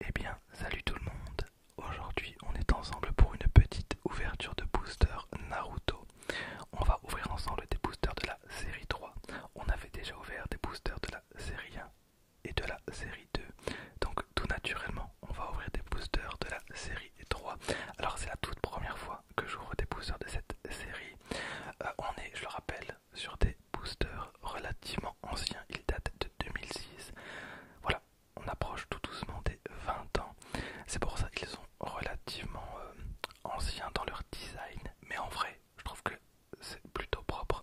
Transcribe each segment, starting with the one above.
Eh bien, salut tout le monde. Aujourd'hui, on est ensemble pour une petite ouverture de booster Naruto. On va ouvrir ensemble des boosters de la série 3. On avait déjà ouvert des boosters de la série 1 et de la série 2. Donc tout naturellement, on va ouvrir des boosters de la série 3. Alors c'est la toute première fois que j'ouvre des boosters de cette série. Euh, on est, je le rappelle, sur des boosters relativement anciens. Ils datent de 2006. Voilà, on approche tout doucement des 20 ans. C'est pour ça qu'ils sont relativement euh, anciens dans leur design. Mais en vrai, je trouve que c'est plutôt propre.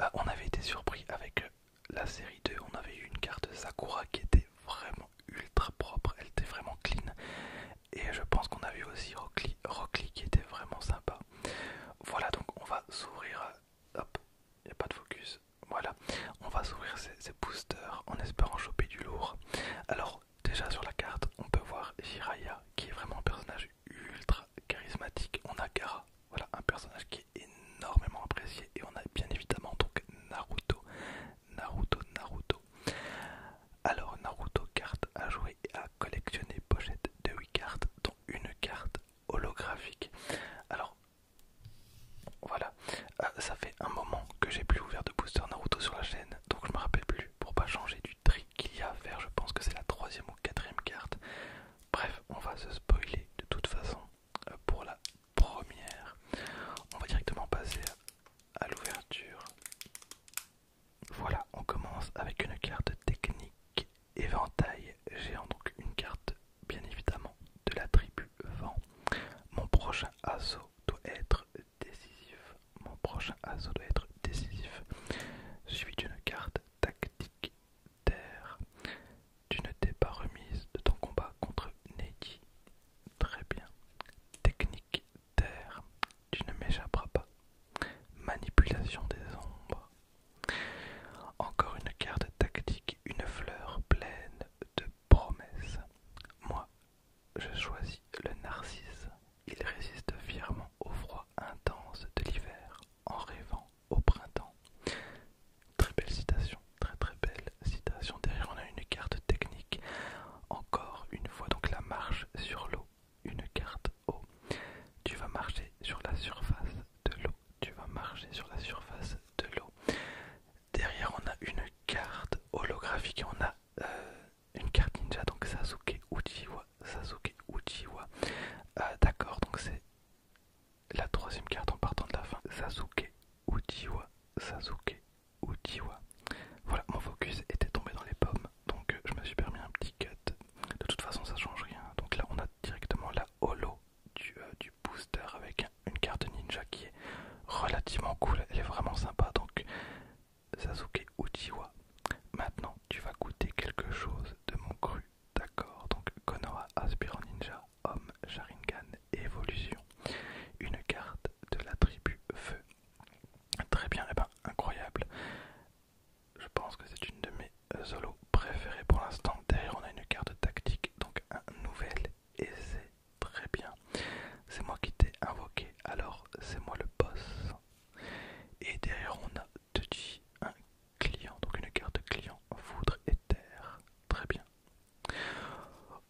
Euh, on avait été surpris avec euh, la série 2. On avait eu une carte Sakura qui était vraiment ultra propre. Elle était vraiment clean. Et je pense qu'on a vu aussi Rockly, qui était vraiment sympa. Voilà, donc on va s'ouvrir hop, il n'y a pas de focus. Voilà, on va s'ouvrir ces, boosters en espérant choper du lourd. Alors, déjà sur la carte, on peut voir Jiraya qui est vraiment un personnage ultra charismatique. On a Gara, voilà, un personnage qui est énormément apprécié. Et on a bien évidemment donc Naruto. Naruto, Naruto. Alors, Naruto, carte à jouer et à collectionner, pochette de 8 cartes une carte holographique. Alors voilà, ah, ça fait un moment que j'ai plus ouvert de booster Naruto sur la chaîne, donc je me rappelle plus pour pas changer du trick qu'il y a à faire. Je pense que c'est la troisième ou quatrième carte. Bref, on va se spoiler de toute façon euh, pour la première. On va directement passer à l'ouverture voilà, on commence avec une carte technique éventail J'ai donc une carte bien évidemment de la tribu vent. Mon prochain assaut doit être décisif. Mon prochain assaut doit être décisif. Suivi d'une carte tactique terre. Tu ne t'es pas remise de ton combat contre Neki. Très bien. Technique terre tu ne m'échapperas pas. Manipulation des ombres. Encore une carte tactique, une fleur pleine de promesses. Moi, je choisis le narcisse. Il résiste fièrement au froid intense de l'hiver en rêvant au printemps. Très belle citation, très très belle citation. Derrière on a une carte technique. Encore une fois donc la marche sur l'eau une carte eau. Tu vas marcher sur la surface de l'eau. Tu vas marcher sur la surface de l'eau. Derrière, on a une carte holographique et on a euh, une carte ninja, donc Sasuke Uchiwa. Sasuke Uchiwa. Euh, d'accord, donc c'est la troisième carte en partant de la fin. Sasuke Uchiwa. Sasuke Uchiwa. Voilà, mon focus était tombé dans les pommes donc euh, je me suis permis un petit cut. De toute façon, ça change rien. Donc là, on a directement la holo du, euh, booster avec une carte ninja qui est relativement cool. Elle est vraiment sympa. Donc, Sasuke Uchiwa. Maintenant, tu vas goûter quelque chose de mon cru. D'accord, donc Konoha Aspirant Ninja, Homme Sharingan, Évolution. Une carte de la tribu Feu. Très bien, et eh bien, incroyable. Je pense que c'est une de mes euh, solos préférées pour l'instant. Derrière, on a une carte tactique, donc un nouvel, et c'est très bien. C'est moi qui t'ai invoqué, alors c'est moi le boss. Et derrière, on a Tutti, un client, donc une carte client, foudre et terre. Très bien.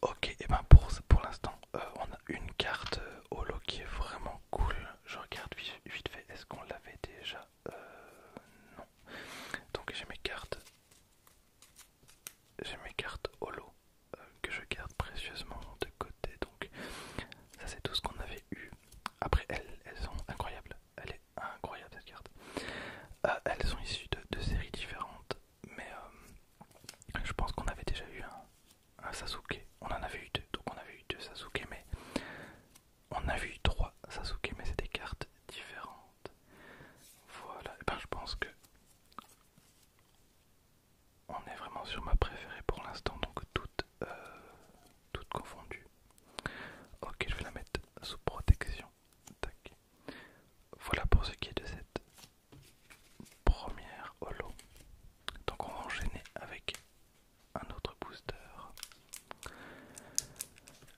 Ok, et ben pour, pour l'instant, euh, on a une carte euh, holo qui est vraiment cool. Je regarde vite fait, est-ce qu'on l'avait déjà euh, Non. Donc j'ai mes cartes. J'ai mes cartes holo euh, que je garde précieusement de côté. Donc ça c'est tout ce qu'on avait eu. Après elles, elles sont incroyables. Elle est incroyable cette carte. Euh, elles sont issues de, deux séries différentes. Mais euh, je pense qu'on avait déjà eu un, un Sasuke. On en avait eu deux, donc on avait eu deux Sasuke, mais on a vu trois Sasuke, mais c'est des cartes différentes. Voilà, et eh ben je pense que on est vraiment sur ma préférée pour l'instant, donc toutes, euh, confondues. Ok, je vais la mettre sous protection. Voilà pour ce qui est de cette première holo. Donc on va enchaîner avec un autre booster.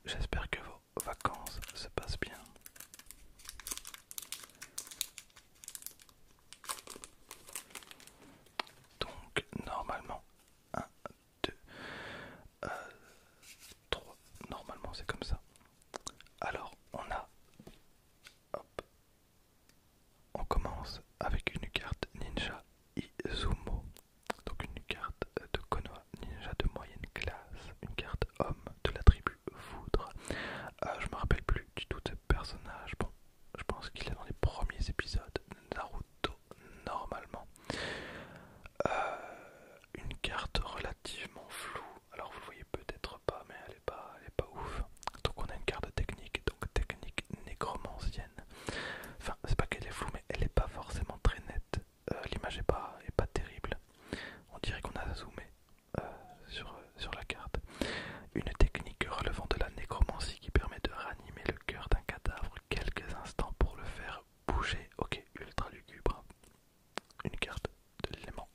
J'espère que vos vacances se passent bien. Donc normalement 1, 2, 3, normalement c'est comme ça. Alors on a hop, on commence avec une carte ninja Izumo, donc une carte de Konoha ninja de moyenne classe, une carte homme de la tribu Foudre. Euh, je me rappelle plus du tout ce personnage. je pense qu'il est dans les premiers épisodes de Naruto normalement. Euh, une carte relativement floue. Alors vous voyez peut-être pas, mais elle est pas, elle est pas ouf. Donc on a une carte technique, donc technique nécromancienne. Enfin, c'est pas qu'elle est floue, mais elle est pas forcément très nette. Euh, l'image est pas, est pas terrible. On dirait qu'on a zoomé euh, sur, sur la carte. Une technique relevant de la nécromancie qui permet de ranimer le cœur d'un cadavre quelques instants pour le faire bouger. Ok, ultra lugubre. Une carte de l'élément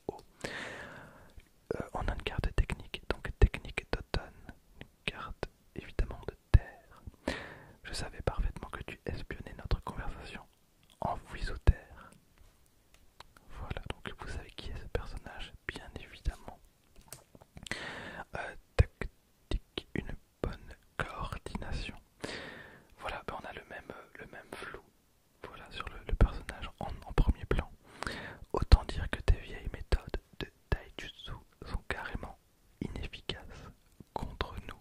euh, on a une carte technique, donc technique d'automne, une carte évidemment de terre. Je savais parfaitement que tu espionnais notre conversation en aux terre. Voilà, donc vous savez qui est ce personnage, bien évidemment. Euh, tactique, une bonne coordination. Voilà, ben, on a le même, le même flou voilà sur le, personnage en, premier plan. Autant dire que tes vieilles méthodes de taijutsu sont carrément inefficaces contre nous.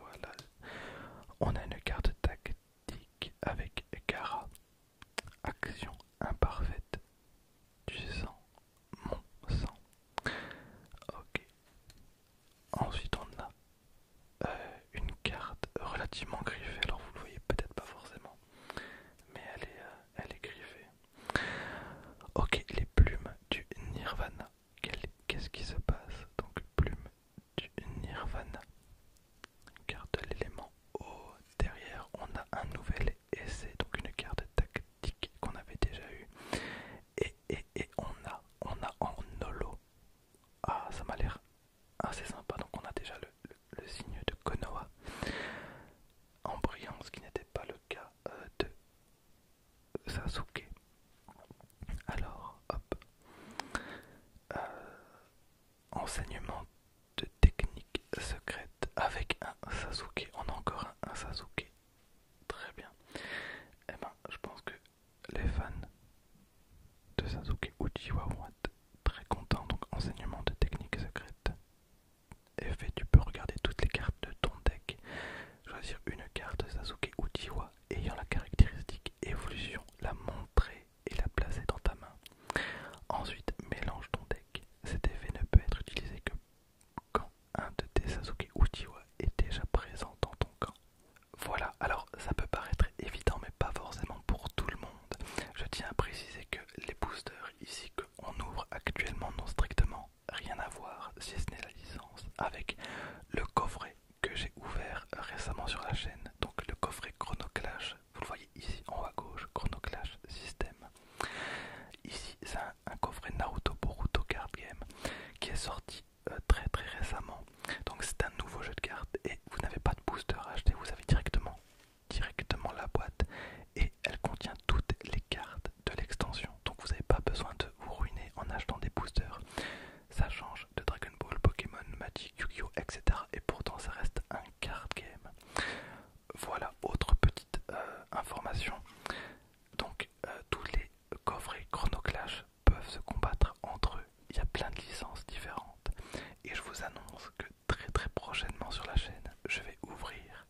Voilà. On a une carte tactique avec Kara. Action imparfaite. Tu sens mon sang. Ok. Ensuite on a euh, une carte relativement griffée. Alors vous le voyez peut-être pas forcément, mais elle est, euh, elle est griffée. Ok, les plumes du Nirvana. Qu'est-ce qui se passe Donc plume du Nirvana. Carte de l'élément Derrière, on a un nouvel essai, donc une carte tactique qu'on avait déjà eu Et, et, et on a, on a en holo. Ah, ça m'a l'air ah c'est sympa, donc on a déjà le, signe de Konoha en brillant, ce qui n'était pas le cas euh, de Sasuke. Alors, hop. Euh, enseignement de technique secrète avec un Sasuke. On a encore un, un Sasuke. Très bien. Eh ben, je pense que les fans de Sasuke Uchiwa vont être très contents. Donc, enseignement de technique secrète. Effet, tu peux regarder toutes les cartes de ton deck, choisir une carte de Sasuke Uchiwa ayant la caractéristique évolution, la montrer et la placer dans ta main. Ensuite, mélange ton deck. Cet effet ne peut être utilisé que quand un de tes Sasuke Uchiwa est déjà présent dans ton camp. Voilà, alors ça peut paraître évident mais pas forcément pour tout le monde. Je tiens à préciser que les boosters ici qu'on ouvre actuellement n'ont strictement rien à voir, si ce n'est la licence, avec le coffret que j'ai ouvert récemment sur la chaîne. Donc le coffret Chronoclash, vous le voyez ici en haut à gauche, Chronoclash System. Ici c'est un, coffret Naruto Boruto Card Game qui est sorti euh, très très récemment. Donc c'est un nouveau jeu de cartes et vous n'avez pas de booster à acheter, vous avez directement, directement la boîte et elle contient toutes les cartes de l'extension. Donc vous n'avez pas besoin de vous ruiner en achetant des boosters. Ça change de Dragon Ball, Pokémon, Magic, Yu-Gi-Oh, etc. Et pourtant ça reste un card game. Voilà, autre petite euh, information. Donc euh, tous les coffrets Chronoclash peuvent se combattre entre eux. Il y a plein de licences différentes. Et je vous annonce que très très prochainement sur la chaîne, je vais ouvrir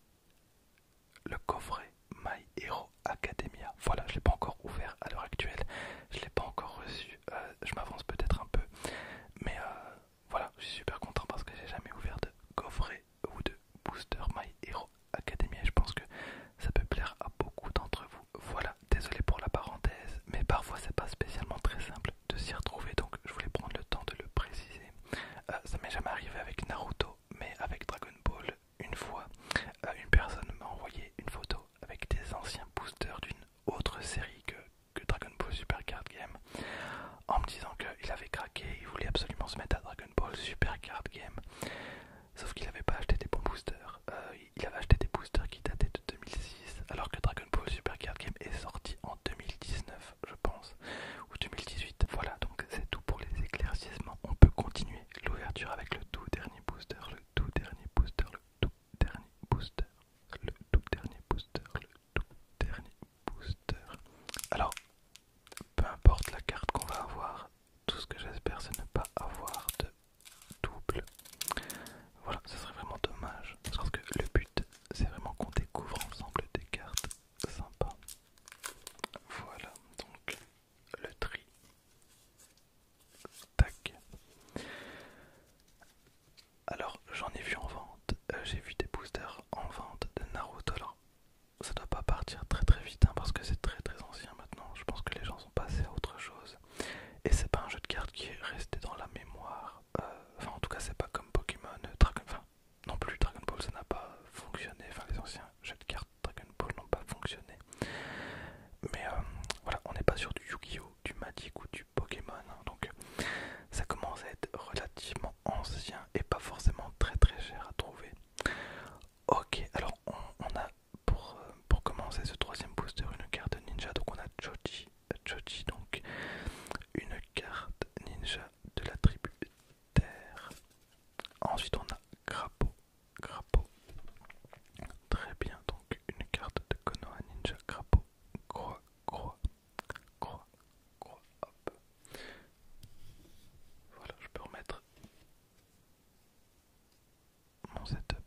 le coffret My Hero Academia. Voilà, je ne l'ai pas encore ouvert à l'heure actuelle. Je ne l'ai pas encore reçu. Euh, je m'avance peut-être un peu. Mais euh, voilà, je suis super content parce que j'ai jamais ouvert de coffret ou de booster My Hero Academia. je pense que ça peut plaire à beaucoup d'entre vous. Voilà, désolé pour la parenthèse, mais parfois c'est pas spécialement très simple de s'y retrouver, donc je voulais prendre le temps de le préciser. Euh, ça m'est jamais arrivé avec Naruto, mais avec Dragon Ball, une fois, euh, une personne m'a envoyé une photo avec des anciens boosters d'une autre série que, que Dragon Ball Super Card Game, en me disant qu'il avait craqué, il voulait absolument se mettre à Dragon Ball Super Card Game. Sauf qu'il n'avait pas acheté des bons boosters. Euh, il avait acheté des boosters qui dataient de 2006, alors que Dragon Ball Super Card Game est sorti en 2019, je pense, ou 2018. Voilà, donc c'est tout pour les éclaircissements. On peut continuer l'ouverture avec le tout dernier booster, le tout dernier booster, le tout dernier booster, le tout dernier booster, le tout dernier booster. Alors, peu importe la carte qu'on va avoir, tout ce que j'espère, c'est ne pas avoir de double. Voilà, ce serait vraiment dommage. Parce que le but, c'est vraiment qu'on découvre ensemble des cartes sympas. Voilà, donc le tri. Tac. Alors, j'en ai vu en vente. Euh, j'ai vu des boosters en vente de Naruto ça doit pas partir très très vite hein, parce que c'est très très ancien maintenant. Je pense que les gens sont passés à autre chose. Et c'est pas un jeu de cartes qui est resté dans la mémoire. Euh, enfin, en tout cas, c'est pas comme Pokémon, euh, Dragon Enfin, non plus, Dragon Ball ça n'a pas fonctionné. Enfin, les anciens jeux de cartes Dragon Ball n'ont pas fonctionné. Mais euh, voilà, on n'est pas sur du Yu-Gi-Oh, du Magic ou du Pokémon. Hein. donc ça commence à être relativement ancien et pas forcément très très cher à trouver. Ok, alors on, a pour, euh, pour commencer ce troisième booster une carte ninja. Donc on a Joji, Choji donc une carte ninja de la tribu Terre. Ensuite on a Crapaud, Crapaud. Très bien, donc une carte de Konoha Ninja Crapaud. Croix, croix, croix, croix, hop. Voilà, je peux remettre mon setup.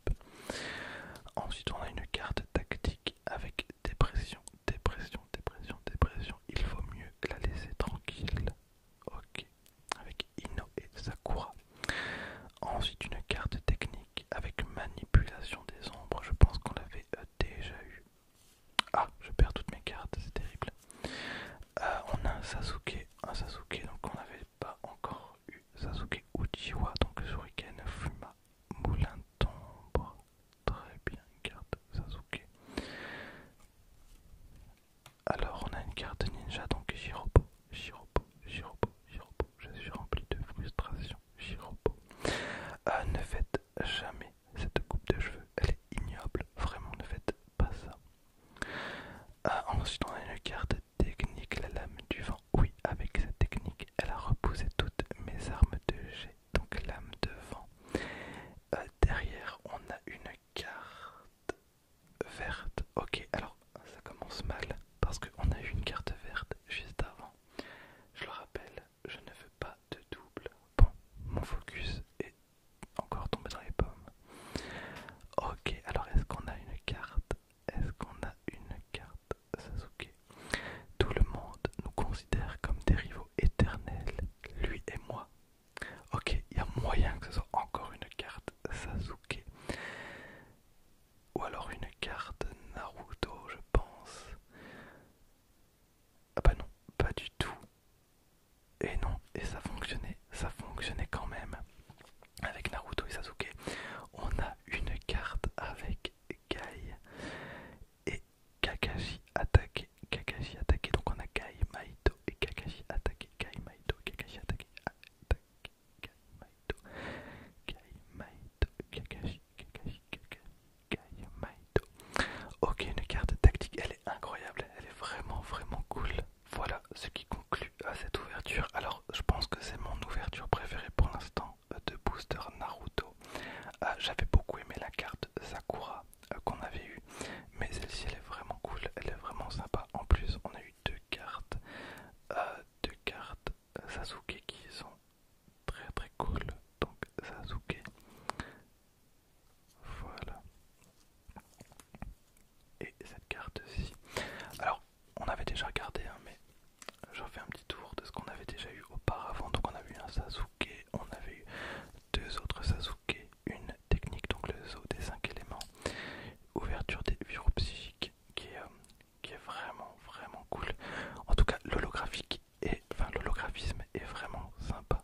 Ensuite, on a une carte tactique avec dépression, dépression, dépression, dépression. Il vaut mieux la laisser tranquille. Ok, avec Ino et Sakura. Ensuite, une carte technique avec manipulation des ombres. Je pense qu'on l'avait euh, déjà eu. Ah, je perds toutes mes cartes, c'est terrible. Euh, on a un Sasuke, un Sasuke donc on n'avait pas encore eu Sasuke Uchiwa, donc Shuriken Fuma, Moulin d'ombre, très bien carte Sasuke. Alors on a une carte ninja donc Jirobo, Jirobo, Jirobo, Jirobo, je suis rempli de frustration, Jirobo. Euh, ne faites jamais cette coupe de cheveux, elle est ignoble, vraiment ne faites pas ça. Euh, ensuite, on a une carte technique, la lame du vent. Oui, avec cette technique, elle a repoussé toutes mes armes de jet, donc lame de vent. Euh, derrière, on a une carte verte. Ok, alors ça commence mal parce qu'on a eu une carte verte juste avant. Je le rappelle, je ne veux pas de double. Bon, mon focus est encore tombé dans les pommes. Ok, alors est-ce qu'on a une carte Est-ce qu'on a une carte Sasuke Tout le monde nous considère comme des rivaux éternels, lui et moi. Ok, il y a moyen que ce soit encore une carte Sasuke. Ou alors une carte Naruto, je pense. Ah bah non, pas du tout. Et non, et ça fonctionnait, ça fonctionnait quand même. Avec Naruto et Sasuke, on a une carte avec Gai et Kakashi attaqué. Kakashi attaqué, donc on a Gai, Maito et Kakashi attaqué. Gai, Maito, Kakashi attaqué. Attaque, Gai, Maito, Gai, Maito, Kakashi, Kakashi, Kakashi, Ok, une carte tactique, elle est incroyable, elle est vraiment vraiment cool. Voilà ce qui conclut à cette ouverture. Alors, je pense que c'est mon ouverture préférée pour l'instant euh, de Booster Naruto. Euh, j'avais beaucoup aimé la carte Sakura euh, qu'on avait eue, mais celle-ci elle est vraiment cool, elle est vraiment sympa. En plus, on a eu deux cartes, deux cartes Sasuke qui sont très très cool. Donc Sasuke voilà. Et cette carte-ci. Alors, on avait déjà regardé, hein, mais je refais un petit tour de ce qu'on avait déjà eu auparavant. Donc, on a eu un Sasuke, on avait eu deux autres Sasuke, une technique, donc le zoo des 5 éléments, ouverture des virus psychiques, euh, qui est, vraiment, vraiment cool. En tout cas, l'holographique et enfin l'holographisme est vraiment sympa